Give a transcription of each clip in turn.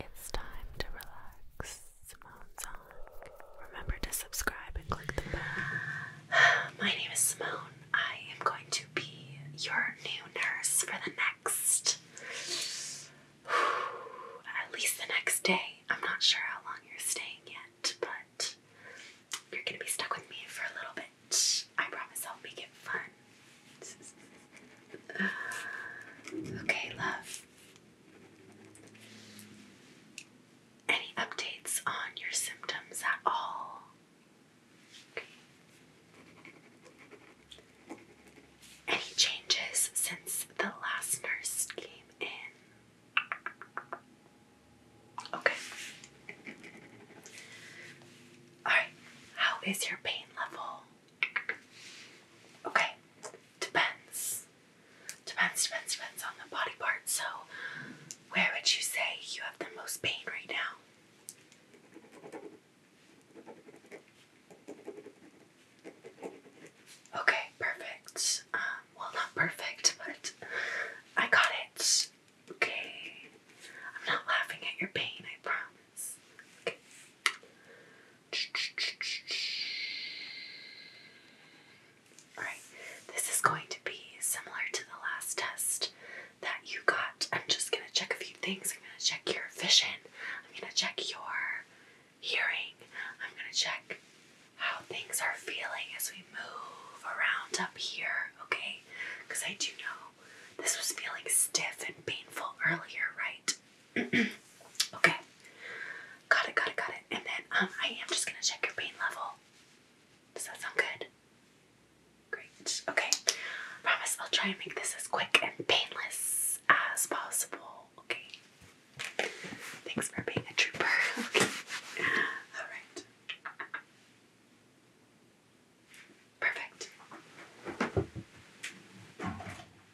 It's time to relax. Simone Song. Remember to subscribe and click the bell. My name is Simone. I am going to be your new nurse for the next. At least the next day. I'm not sure how long you're staying yet, but you're gonna be stuck with me for a little bit. I promise I'll make it fun. okay, love. Any updates on your symptoms at all? Any changes since the last nurse came in? Okay. Alright, how is your pain level? Okay, depends. Depends, depends, depends on the body part. So, where would you say you have the most pain right now? Okay, perfect. Um, well, not perfect, but I got it. Okay. I'm not laughing at your pain, I promise. Okay. Alright, this is going to be similar to the last test that you got. I'm just going to check a few things. I'm going to check your vision, I'm going to check your hearing, I'm going to check how things are feeling as we move around up here, okay? Because I do know this was feeling stiff and painful earlier, right? okay. Got it, got it, got it. And then um, I am just gonna check your pain level. Does that sound good? Great. Okay. promise I'll try and make this as quick and painless as possible. Okay. Thanks for being a trooper. okay. Alright. Perfect.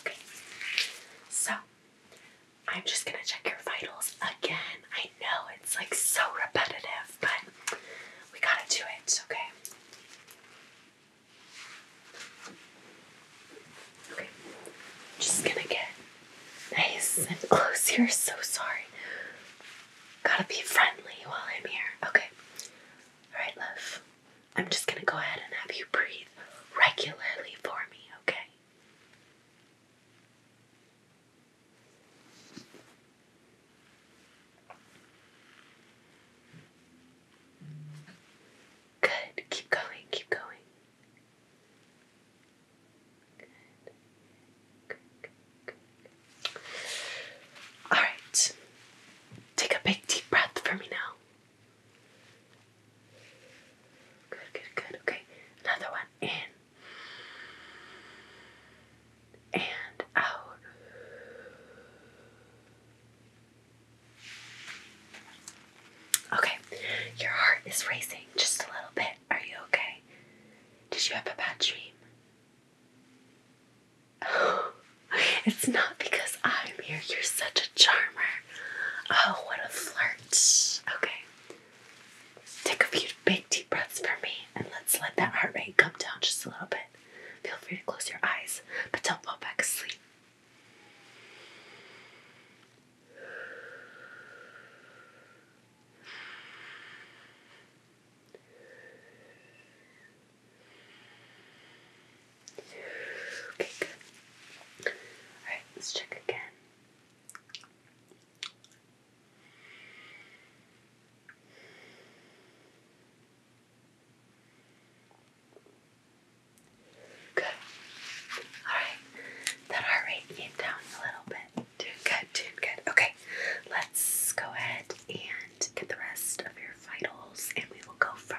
Okay, so I'm just gonna check your vitals again. I know it's like so repetitive, but we gotta do it, okay? Okay, just gonna get nice and close here. So sorry. Gotta be friendly while I'm here. Okay. Alright, love. I'm just going to go ahead and have you breathe regularly for me, okay? Good. Keep going. Keep going. All right. Take a big deep breath for me now. Good, good, good. Okay, another one. In and out. Okay, your heart is racing just a little bit. Are you okay? Did you have a bad dream? it's not because I'm here. You're such a charmer. Oh, what a flirt. Okay. Take a few big deep breaths for me and let's let that heart rate come down just a little bit. Feel free to close your eyes, but don't fall back asleep. Okay, good. Alright, let's check again. Good. Alright. That heart rate came down a little bit. Doing good, doing good. Okay. Let's go ahead and get the rest of your vitals and we will go from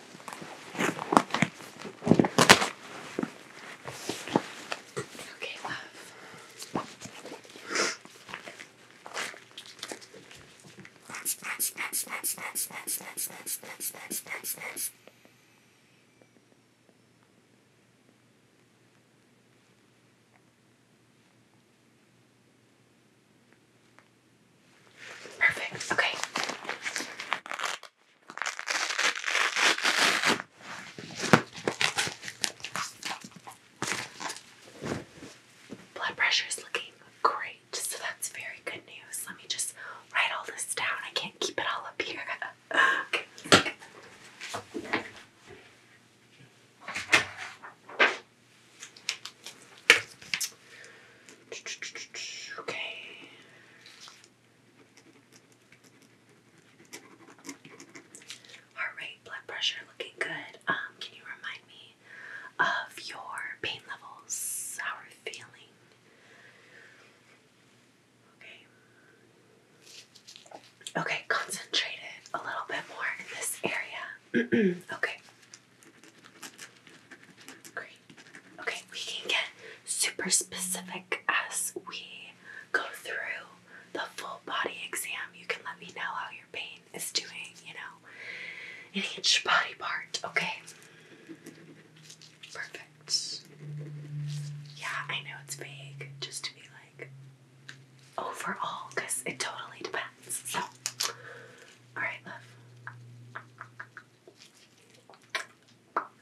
Okay, love. That's that's that's that's that's that's that's that's that's that's that's that's Perfect. Okay. Blood pressure is looking great, so that's very good news. Let me just write all this down. I can't keep it all up here. okay. Heart rate, blood pressure looking good. Um, can you remind me of your pain levels? How are you feeling? Okay. Okay, concentrate it a little bit more in this area. okay. Great. Okay, we can get super specific as we go through the full body exam. You can let me know how your pain is doing, you know, in each body part, okay? Perfect. Yeah, I know it's vague just to be like overall it totally depends. So, alright, love.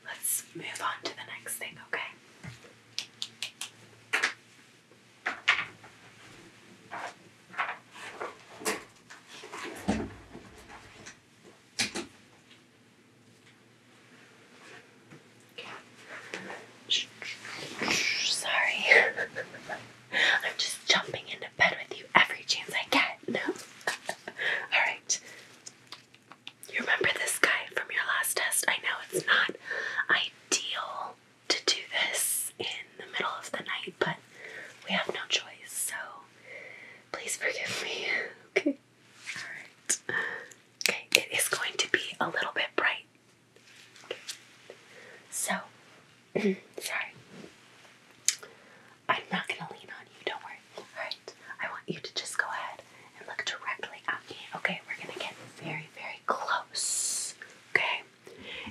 Let's move on to the next thing, okay? Sorry. I'm just jumping into bed with you every chance I get. No. All right. You remember this guy from your last test? I know it's not ideal to do this in the middle of the night, but we have no choice, so please forgive me. Okay. Alright. Okay, it is going to be a little bit bright. Okay. So, sorry. I'm not gonna lean on you, don't worry. Alright, I want you to just go ahead and look directly at me. Okay, we're gonna get very, very close. Okay,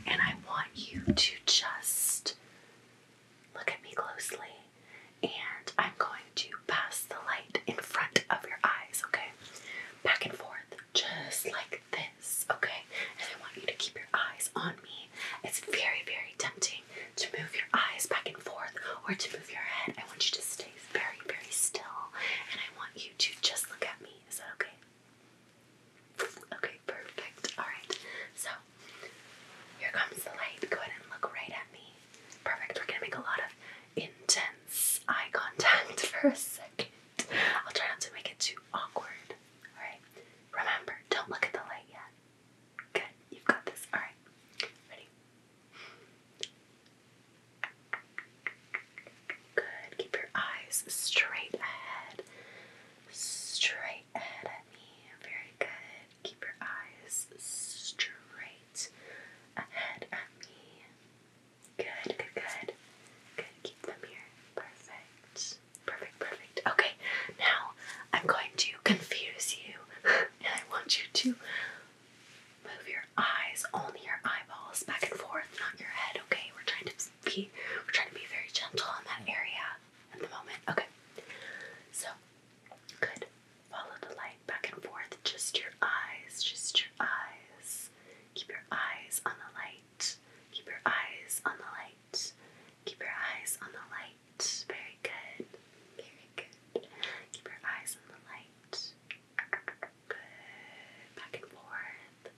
and I want you to just look at me closely, and I'm going to pass the light in front of your eyes, okay? Back and forth, just like this, okay? And I want you to keep your eyes on me it's very, very tempting to move your eyes back and forth or to move your head. I want you to stay very, very still and I want you to just look at me. Is that okay? Okay, perfect. Alright, so here comes the light. Go ahead and look right at me. Perfect. We're gonna make a lot of intense eye contact for a second. I'll try not to make it too awkward. Alright, remember, don't look at the light yet. Good, you've got this. All right, ready? Good, keep your eyes straight ahead. Straight ahead at me. Very good. Keep your eyes straight ahead at me. Good, good, good. Good, keep them here. Perfect. Perfect, perfect. Okay, now I'm going to confuse you and I want you to move your eyes, only your eyeballs back and forth, not your head, okay? We're trying to be we're trying to be very gentle in that area at the moment. Okay. So good. Follow the light back and forth. Just your eyes. Just your eyes. Keep your eyes on the light. Keep your eyes on the light. Keep your eyes on the light. Very good. Very good. Keep your eyes on the light. Good. Back and forth.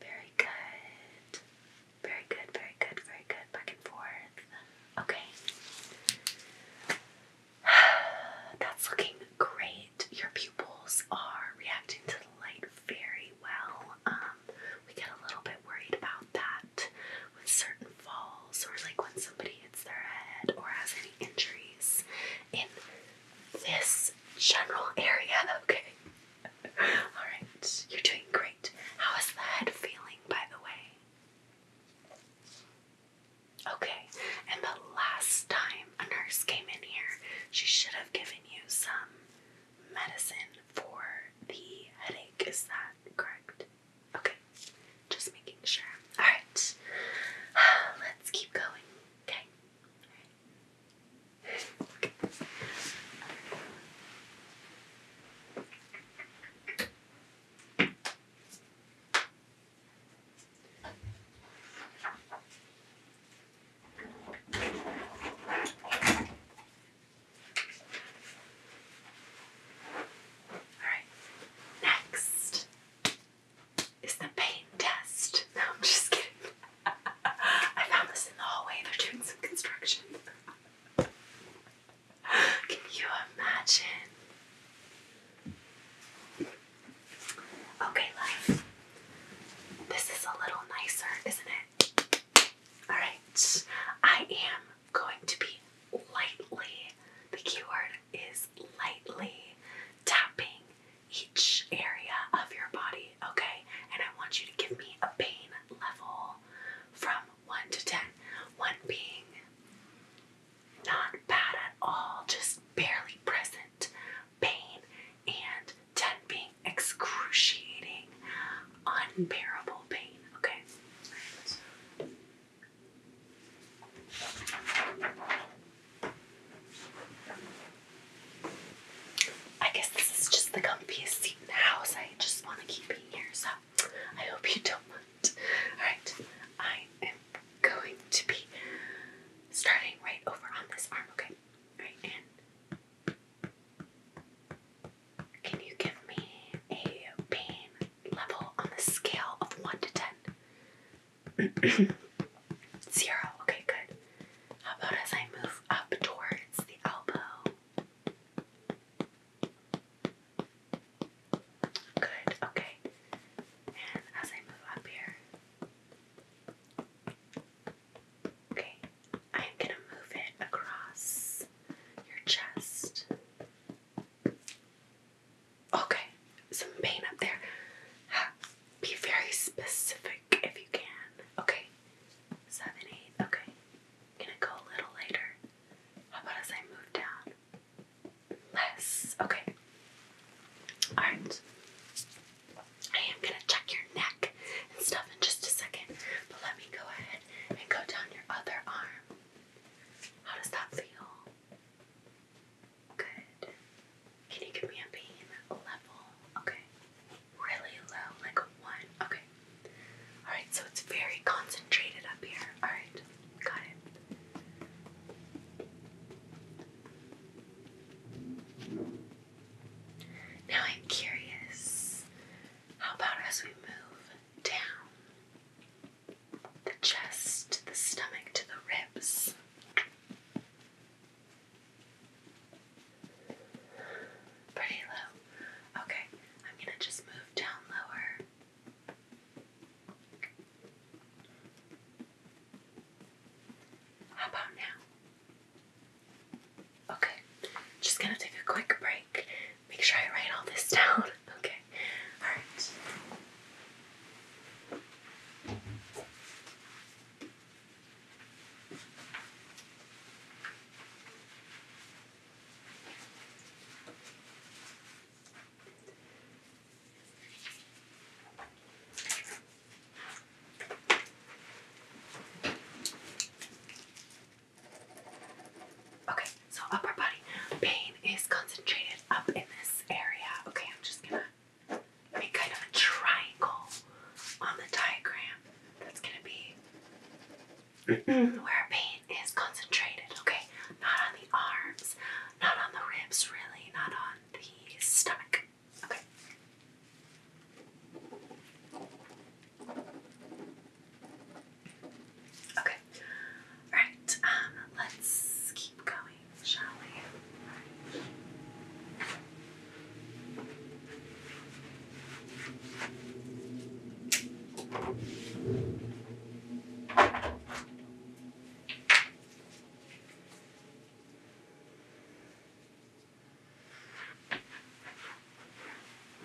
Very good. Very good, very good, very good. Back and forth. Okay. That's looking great. Your pupils are reacting to the light very well. Um, we get a little bit worried about that with certain falls or like when somebody hits their head or has any injuries in this general area, okay? Alright, you're doing great. How is the head feeling, by the way? Okay, and the last time a nurse came in here, she should have given you some medicine for the headache. Is that correct? Okay, just making sure. Alright, let's keep going. Okay. Alright, next is the pain test. No, I'm just kidding. I found this in the hallway. They're doing some construction. Can you imagine? Okay, love. This is a little nicer, isn't it? Alright, I am going to be lightly, the keyword is lightly tapping each area of your body, okay? And I want you to give me a pain level from 1 to 10. 1 being not bad at all, just barely present pain, and 10 being excruciating unbearable pain. Okay. I guess this is just the comfiest seat in the house. I just want to keep being here, so I hope you don't mind. Alright, I am going to be starting right over on this arm, okay? Right, and can you give me a pain level on the scale of 1 to 10? Zero. Okay, good. How about as I move up towards the elbow? Good, okay. And as I move up here, okay, I'm gonna move it across your chest. Okay, some pain up there. Be very specific if you can. Okay, seven, eight. Okay, I'm gonna go a little later. How about as I move down? Less. Okay. All right. I am gonna check your neck and stuff in just a second, but let me go ahead and go down your other arm. How does that feel? Good. Can you give me a pain level? Okay. Really low, like a one. Okay. Alright, so it's very concentrated up here. Alright, got it. Now I'm curious. How about as we move down the chest, the stomach to the ribs. Pretty low. Okay, I'm gonna just move down lower. How about now? Okay, just gonna take a quick break. Make sure I write all this down. Okay. All right. Okay, so upper body. Pain is concentrated up in this area. Okay, I'm just gonna make kind of a triangle on the diagram. That's gonna be where pain is concentrated, okay? Not on the arms, not on the ribs, really, not on the stomach. Okay. Okay. Alright, um, let's keep going, shall we?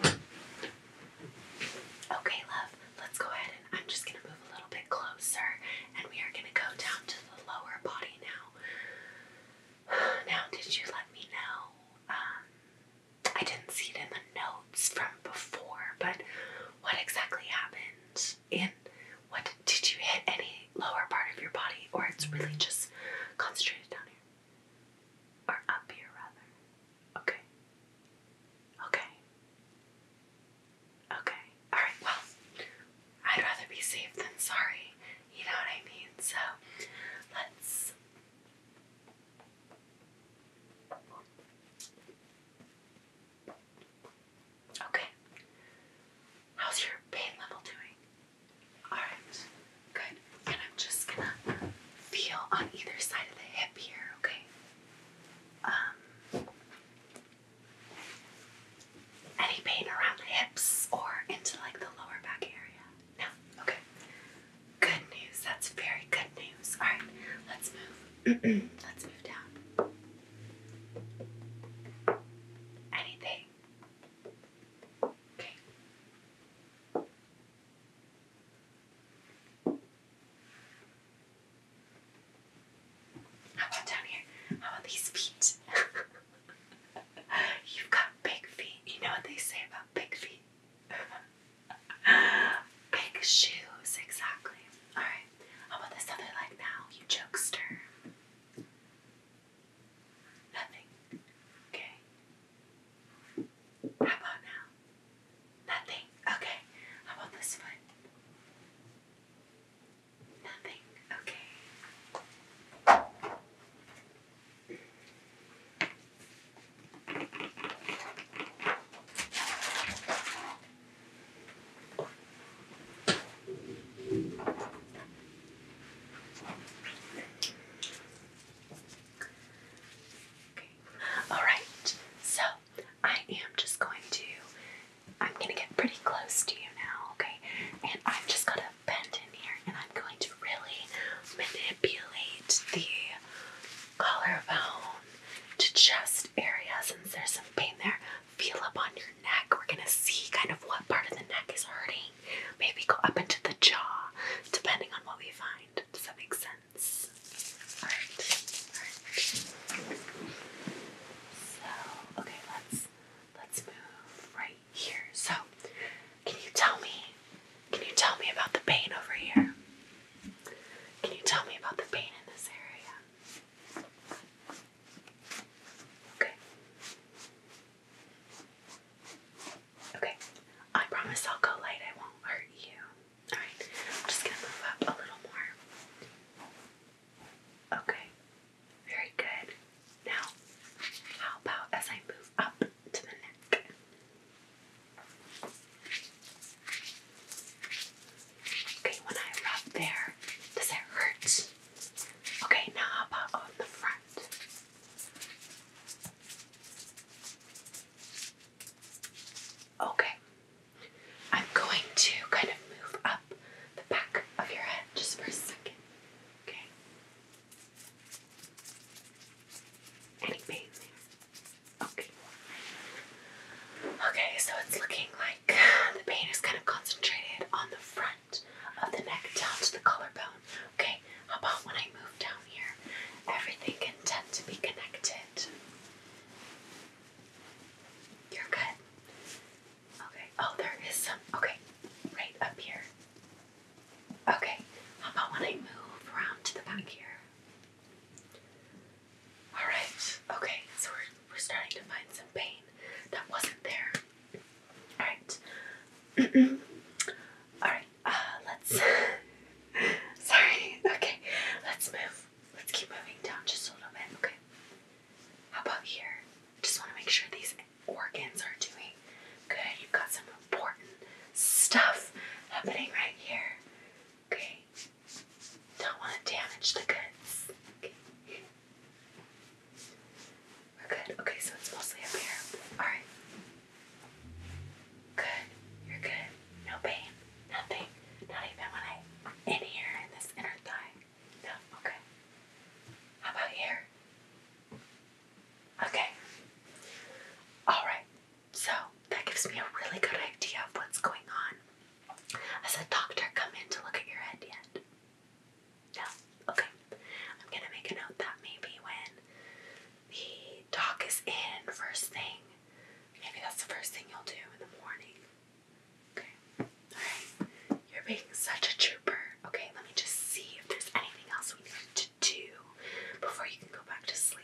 Okay, love, let's go ahead and I'm just gonna move a little bit closer and we are gonna go down to the lower body now. Now, did you let me know? Um, I didn't see it in the notes from before, but what exactly happened? And what did you hit any lower part of your body, or it's really just concentrated down here? Or up here, rather. Okay. Okay. Okay. Alright, well, I'd rather be safe than sorry. You know what I mean? So, let's. Okay. How's your pain level doing? Alright. Good. And I'm just gonna feel on either side of the hip here, okay? Um, any pain around the hips or into like the lower back area? No? Okay. Good news. That's very good news. All right, let's move. let's move down. Anything? Okay. How about down here? How about these feet? You've got big feet. You know what they say about big feet? big shoes, exactly. Alright, how about this other leg now, you jokester? Nothing. Okay. How about now? Nothing. Okay. How about this one? Nothing. Okay. Okay, Alright, so I am just going to, I'm going to get pretty close to you now, okay? And I'm just going to bend in here and I'm going to really manipulate the collarbone to chest area since there's some pain there. Feel up on your neck. We're going to see kind of what part of the neck is hurting. Maybe go up into the jaw, depending on what we find. Does that make sense? Alright, alright. So, okay, let's let's move right here. So, can you tell me? Can you tell me about the pain over here? Can you tell me about the pain in this area? Okay. Okay, I promise I'll go light. I won't hurt you. Alright, I'm just gonna move up a little more. Okay, very good. Now, how about as I move up to the neck? Okay, when I rub there, does it hurt? Okay, now how about on the front? Okay. I'm going to kind of move up the back of your head just for a second. Okay. Any pain Okay. Okay, so it's looking like the pain is kind of concentrated on the front of the neck down to the collarbone. Okay, how about when I move down here, everything can tend to be connected. You're good. Okay. Oh, there is some. Okay, right up here. Okay. How about when I move around to the back here? All right. Okay. So we're we're starting to find some pain that wasn't there. All right. All right. Uh, let's. Sorry. Okay. Let's move. Let's keep moving down just a little bit. Okay. How about here? Just want to make sure these organs are doing good. You've got some important stuff happening right here. Okay. Don't want to damage the goods. Okay. We're good. Okay, so it's mostly up here. Alright. Good. You're good. No pain. Nothing. Not even when I in here in this inner thigh. No. Okay. How about here? Okay. All right. So that gives me a really good idea of what's going on. Has a doctor come in to look at your head yet? No. Okay. I'm gonna make a note that maybe when the Talk is in first thing. Maybe that's the first thing you'll do in the morning. Okay. Alright. You're being such a trooper. Okay, let me just see if there's anything else we need to do before you can go back to sleep.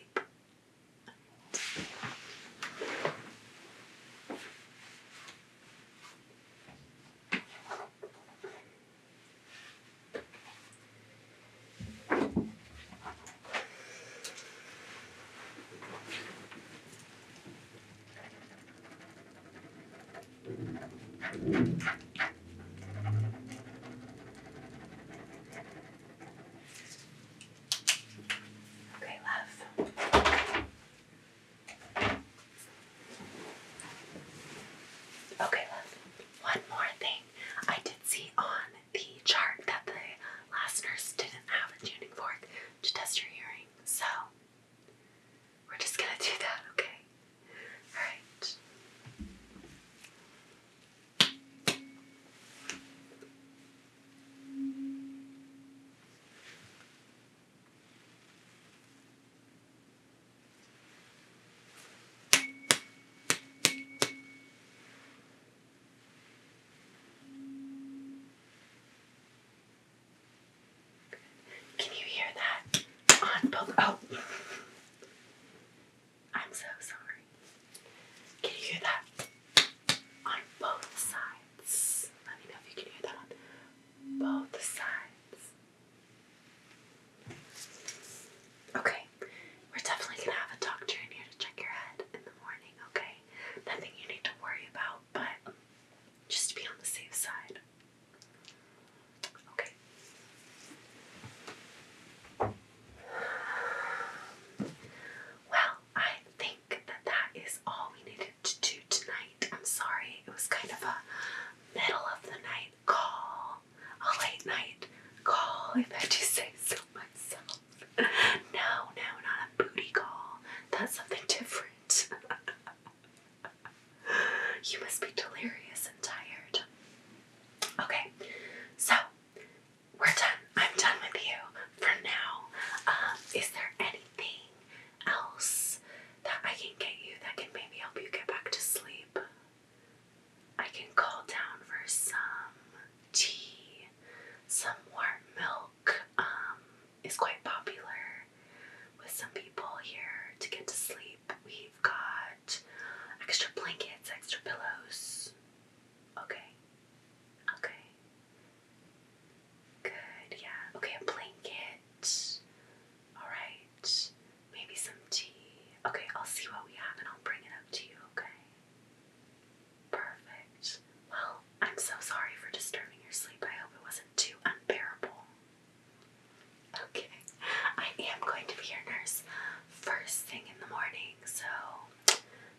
Okay, love. Okay, love. One more thing. I did see on the chart that the last nurse didn't have a tuning fork to test your hearing, so we're just gonna do that, okay? Alright. Can you hear that? On both. Oh. I'm so sorry. Can you hear that? On both sides. Let me know if you can hear that on both sides. Okay, we're definitely gonna have a doctor in here to check your head in the morning, okay? Nothing you need to worry about, but just be on the safe side. Okay. Well, I think that that is all we needed to do tonight. I'm sorry, it was kind of a middle of the night call, a late night call, if I do say so myself. No, no, not a booty call. That's something different. you must be delirious and tired. Okay, so we're done. I'm done with you for now. Um, is there anything else that I can get you that can maybe help you get back to sleep? I can call down for some tea, some warm milk um, is quite popular with some people here to get to sleep. We've got extra blankets, extra pillows. Okay, okay, good, yeah, okay, a blanket. All right. Maybe some tea. Okay, I'll see what we have and I'll bring it up to you, okay? Perfect. Well, I'm so sorry for disturbing your sleep. I hope it wasn't too unbearable. Okay, I am going to be your nurse first thing in the morning, so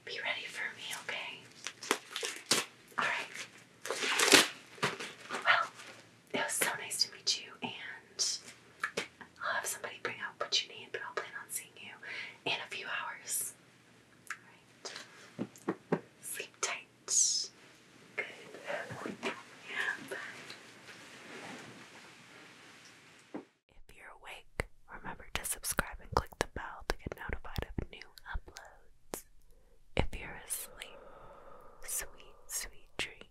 be ready for me, okay? Alright. Well, it was so nice to meet you, and I'll have somebody bring out what you need, but I'll plan on seeing you in a few hours. Alright. Sleep tight. Good. Yeah, bye. If you're awake, remember to subscribe and click the bell to get notified of new uploads. If you're asleep, sweet, sweet dreams.